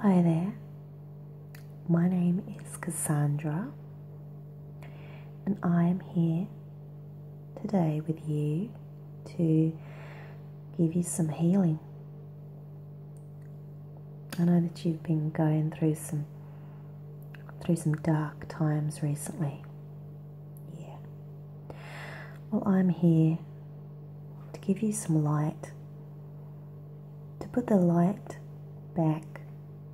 Hello there. My name is Cassandra, and I am here today with you to give you some healing. I know that you've been going through some through some dark times recently. Yeah. Well, I'm here to give you some light, to put the light back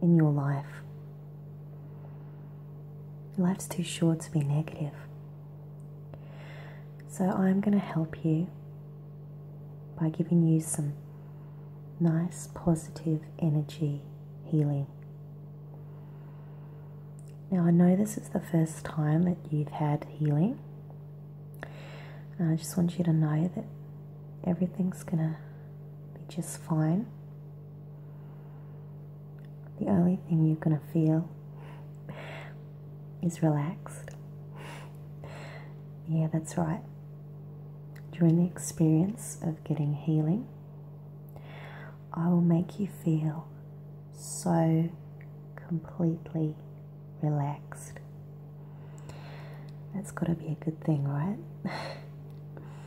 in your life. Life's too short to be negative. So I'm going to help you by giving you some nice positive energy healing. Now, I know this is the first time that you've had healing. And I just want you to know that everything's going to be just fine. The only thing you're going to feel is relaxed. Yeah, that's right. During the experience of getting healing, I will make you feel so completely relaxed. That's got to be a good thing, right?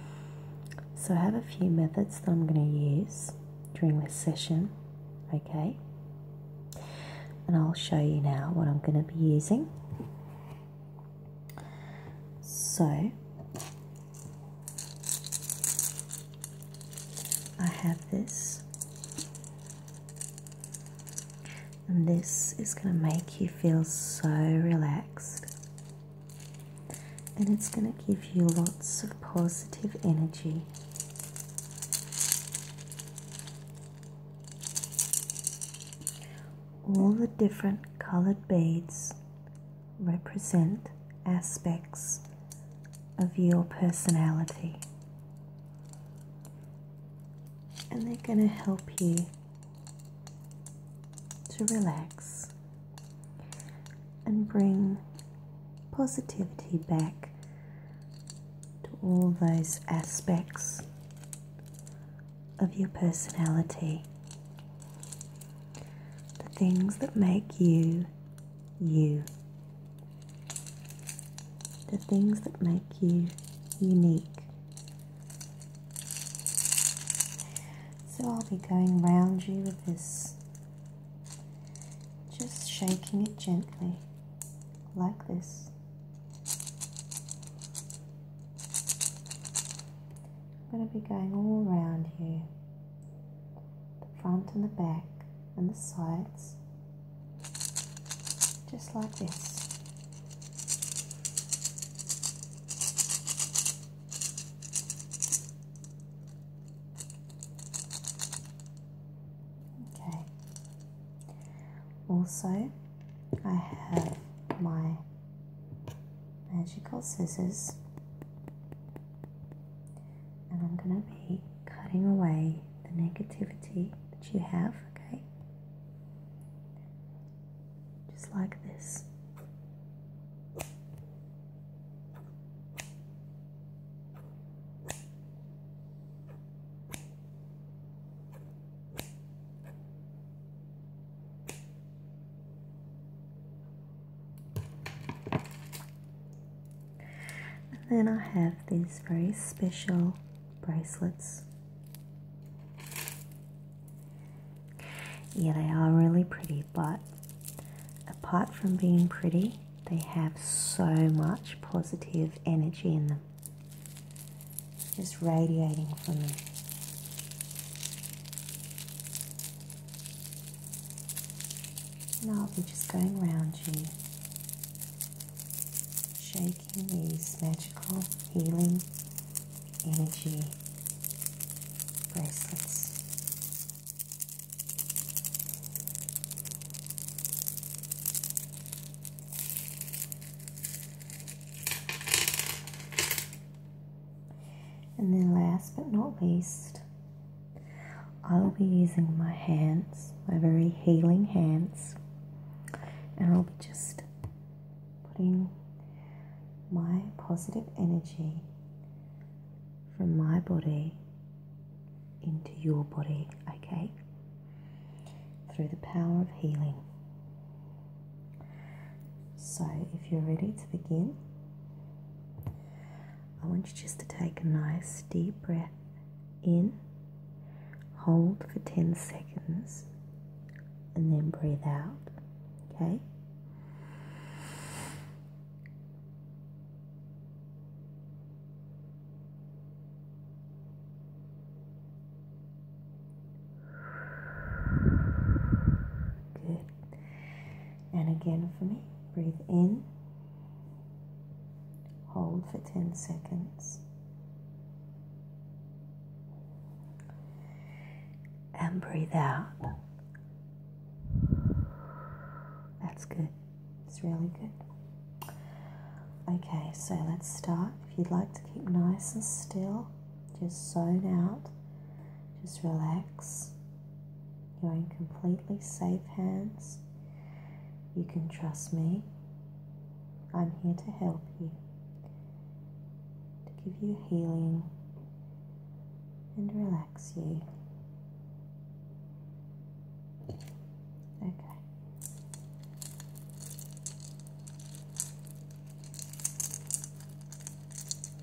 so, I have a few methods that I'm going to use during this session, okay? And I'll show you now what I'm going to be using. So, I have this, and this is going to make you feel so relaxed, and it's going to give you lots of positive energy. All the different coloured beads represent aspects of your personality. And they're going to help you to relax and bring positivity back to all those aspects of your personality. The things that make you you. The things that make you unique. So I'll be going round you with this, just shaking it gently, like this. I'm going to be going all around you the front and the back and the sides, just like this. Okay. Also, I have my magical scissors and I'm going to be cutting away the negativity that you have, okay? Just like this. And then I have these very special bracelets. Yeah, they are really pretty, but apart from being pretty, they have so much positive energy in them. Just radiating from them. And I'll be just going around you, shaking these magical healing energy bracelets. And then, last but not least, I'll be using my hands, my very healing hands, and I'll be just putting my positive energy from my body into your body, okay? Through the power of healing. So, if you're ready to begin, I want you just to take a nice deep breath in, hold for 10 seconds, and then breathe out. Okay? Good. And again for me, breathe in, hold for 10 seconds, and breathe out. That's good, it's really good. Okay, so let's start. If you'd like to keep nice and still, just zone out, just relax. You're in completely safe hands. You can trust me. I'm here to help you, to give you healing and relax you. Okay.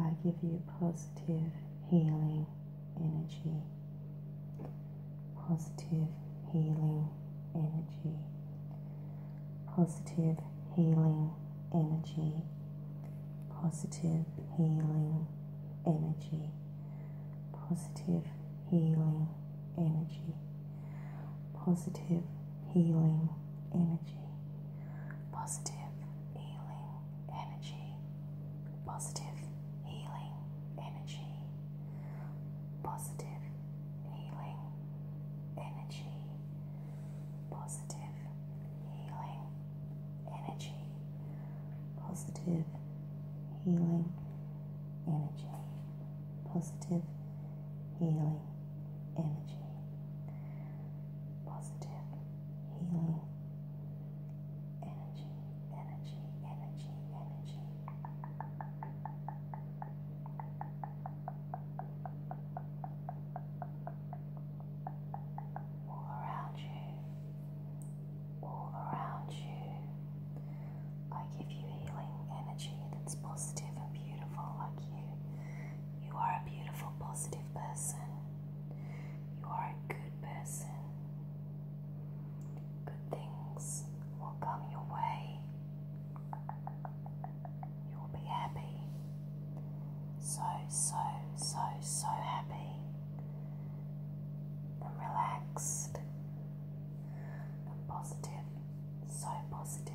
I give you positive healing energy, positive healing energy, positive healing energy, positive healing energy, positive healing energy, positive healing energy, positive healing energy, positive healing energy, positive healing energy, positive healing energy, positive healing energy, positive healing energy, positive healing, energy, energy, energy, energy. All around you, all around you. I give you healing energy that's positive and beautiful, like you. You are a beautiful, positive person. You are a good person. Good things will come your way. You will be happy. So, so, so, so happy. And relaxed. And positive. So positive.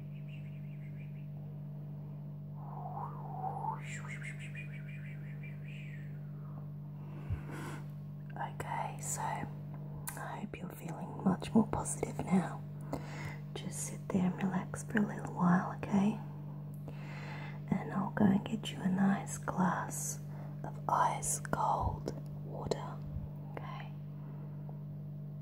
Okay, so I hope you're feeling much more positive now. Just sit there and relax for a little while, okay? And I'll go and get you a nice glass of ice cold water, okay?